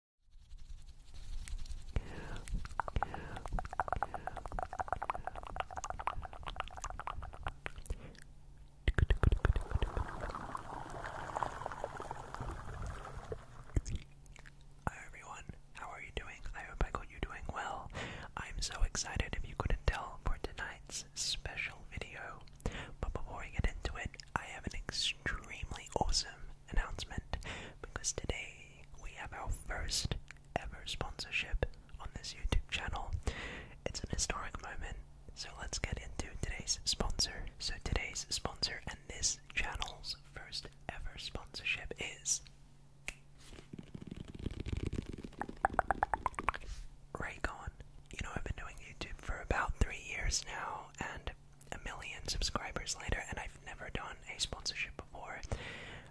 Hi everyone, how are you doing? I hope I got you doing well. I'm so excited if you couldn't tell for tonight's special video. But before we get into it, I have an extremely awesome announcement because today we have our first ever sponsorship on this YouTube channel. It's an historic moment, so let's get into today's sponsor. So, today's sponsor and this channel's first ever sponsorship is Raycon. You know, I've been doing YouTube for about three years now, and a million subscribers later, and I've never done a sponsorship before.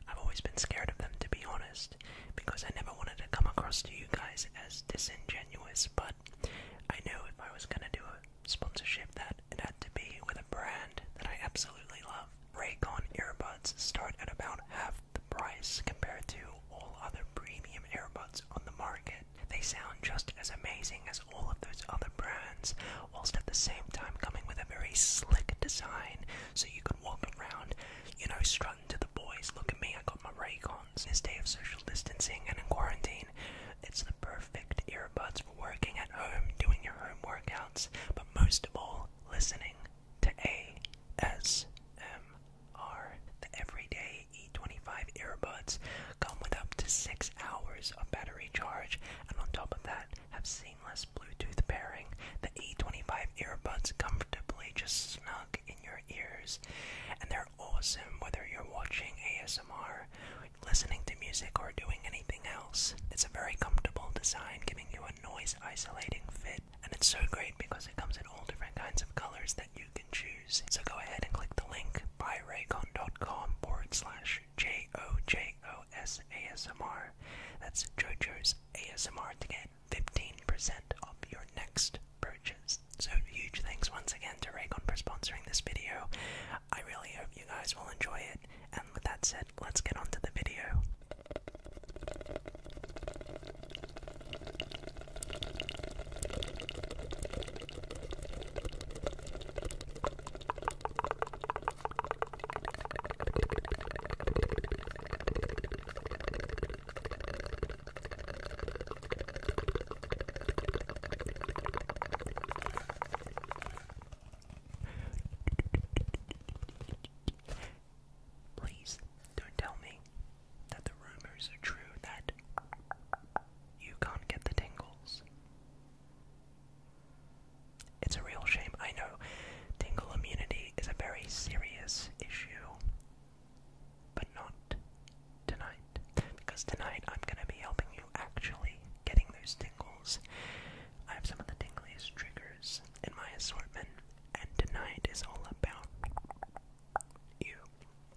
I've always been scared of them, to be honest, because I never wanted to come across to you guys as disingenuous, but I knew if I was gonna do a sponsorship that it had to be with a brand that I absolutely love. Raycon earbuds start at about half the price compared to all other premium earbuds on the market. They sound just as amazing as all of those other brands, whilst at the same time coming with a very slick design so you can walk around, you know, strutting to the boys. Look at me, I got my Raycons. This day of social distancing and in quarantine, it's the perfect earbuds for working at home, doing your home workouts, but most of all, listening to ASMR. The everyday E25 earbuds come with up to six hours of battery charge, and on top of that, have seamless Bluetooth pairing. The E25 earbuds comfortably just snug in your ears, and they're awesome whether you're watching ASMR, listening to music, or doing anything else. It's a very comfortable design, giving you a noise isolating fit, and it's so great because it comes in all different kinds of colors that you can choose. So go ahead and click the link buyraycon.com forward slash J-O-J-O-S-A-S-M-R. That's JoJo's ASMR to get 15% off your next purchase. So huge thanks once again to Raycon for sponsoring this video. I really hope you guys will enjoy it. And with that said, let's get on to the video. Please don't tell me that the rumors are true that you can't get the tingles. It's a real shame. I know tingle immunity is a very serious issue, but not tonight. Because tonight I'm going to be helping you actually getting those tingles. I have some of the tingliest triggers in my assortment, and tonight is all about you.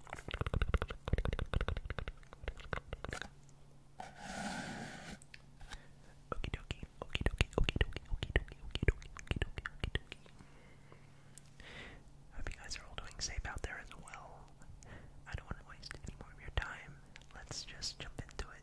Okie dokie, okie dokie, okie dokie, okie dokie, okie dokie, okie dokie, okie dokie. Hope you guys are all doing safe out there as well. I don't want to waste any more of your time. Let's just jump into it.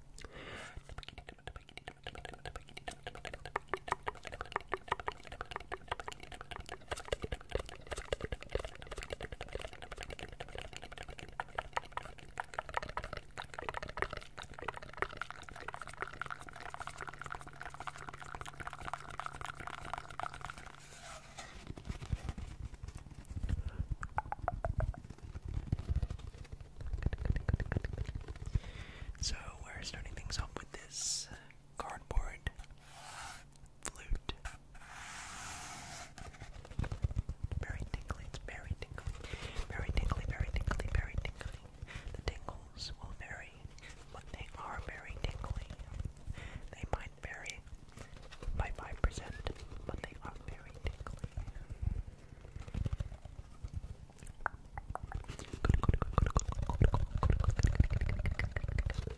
So we're starting things off with this cardboard flute. Very tingly, it's very tingly. Very tingly, very tingly, very tingly. The tingles will vary, but they are very tingly. They might vary by 5 but they are very tingly.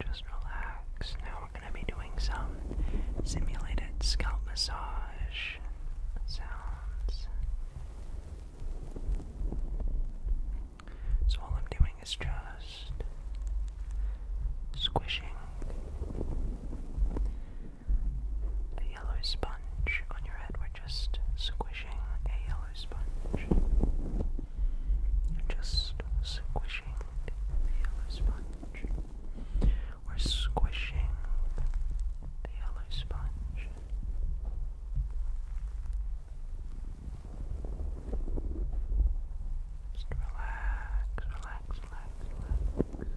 Just relax. Now we're going to be doing some simulated scalp massage sounds. So, all I'm doing is just squishing the yellow sponge on your head. We're just squishing a yellow sponge. Just squishing the yellow sponge. We're squishing the yellow sponge. Just relax, relax, relax, relax.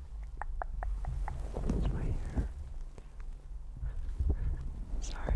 It's my hair. Sorry.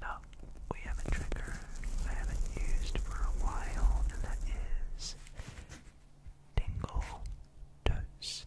Now, oh, we have a trigger I haven't used for a while, and that is Dingle Toast.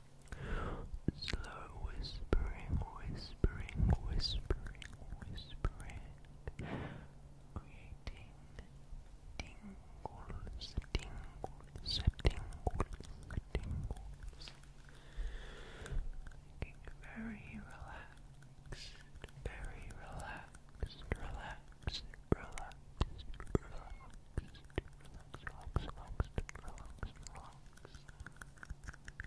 Slow whispering, whispering, whispering, whispering, creating tingles, tingles, tingles, tingles, very relaxed, very relaxed, relaxed. Relaxed, relaxed, relaxed, relaxed, relaxed, relaxed.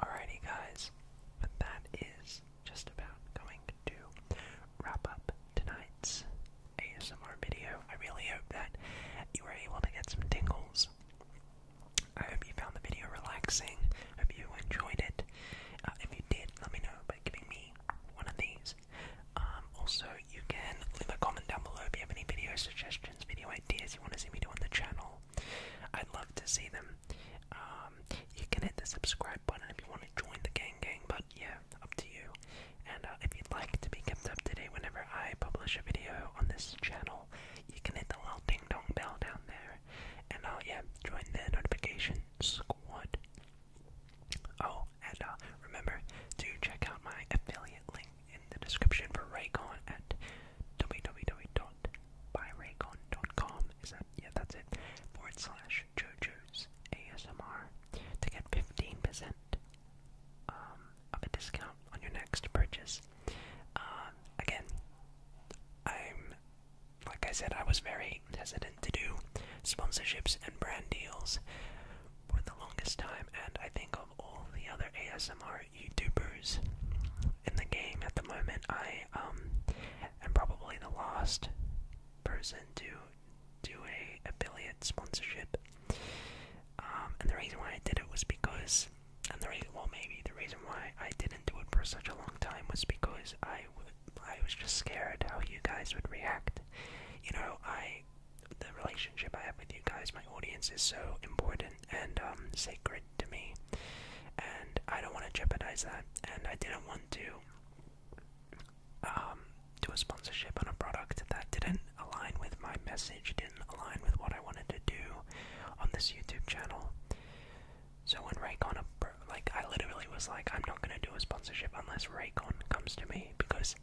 Alrighty, guys, that is just about going to wrap up tonight's ASMR video. I really hope that you were able to get some tingles. I hope you found the video relaxing. hope you enjoyed it. Uh, if you did, let me know by giving me one of these um, also, you can leave a comment down below if you have any video suggestions, video ideas you want to see me do on the channel. I'd love to see them. Um, you can hit the subscribe button if you want to join the gang gang, but yeah, up to you. And uh, if you'd like to be kept up to date whenever I publish a video on this channel, you can hit the little ding dong bell down there. And uh, yeah, join the notification squad. Oh, channel. And uh, remember to check out my affiliate link in the description for Raycon at www.buyraycon.com. Is that yeah? That's it. Forward slash JoJo's ASMR to get fifteen percent um, of a discount on your next purchase. Uh, again, I'm like I said, I was very hesitant to do sponsorships and brand deals for the longest time, and I think all the other ASMR YouTubers in the game at the moment, I um, am probably the last person to do a affiliate sponsorship. Um, and the reason why I did it was because, and the reason, well, maybe the reason why I didn't do it for such a long time was because I, w I was just scared how you guys would react. You know, I the relationship I have with you guys, my audience, is so important and um, sacred to me, and I don't want to jeopardize that. And I didn't want to um, do a sponsorship on a product that didn't align with my message, didn't align with what I wanted to do on this YouTube channel. So when Raycon, like, I literally was like, I'm not gonna do a sponsorship unless Raycon comes to me because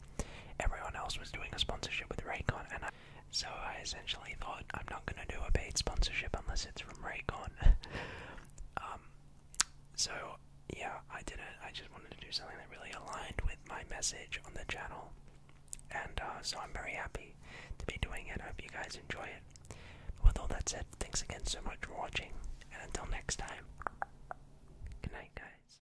everyone else was doing a sponsorship with Raycon, and I, so I essentially thought I'm not gonna do a paid sponsorship unless it's from Raycon. Um, so yeah, I didn't. I just wanted to do something that really aligned with my message on the channel, and uh, so I'm very happy to be doing it. I hope you guys enjoy it. with all that said, thanks again so much for watching, and until next time, good night, guys.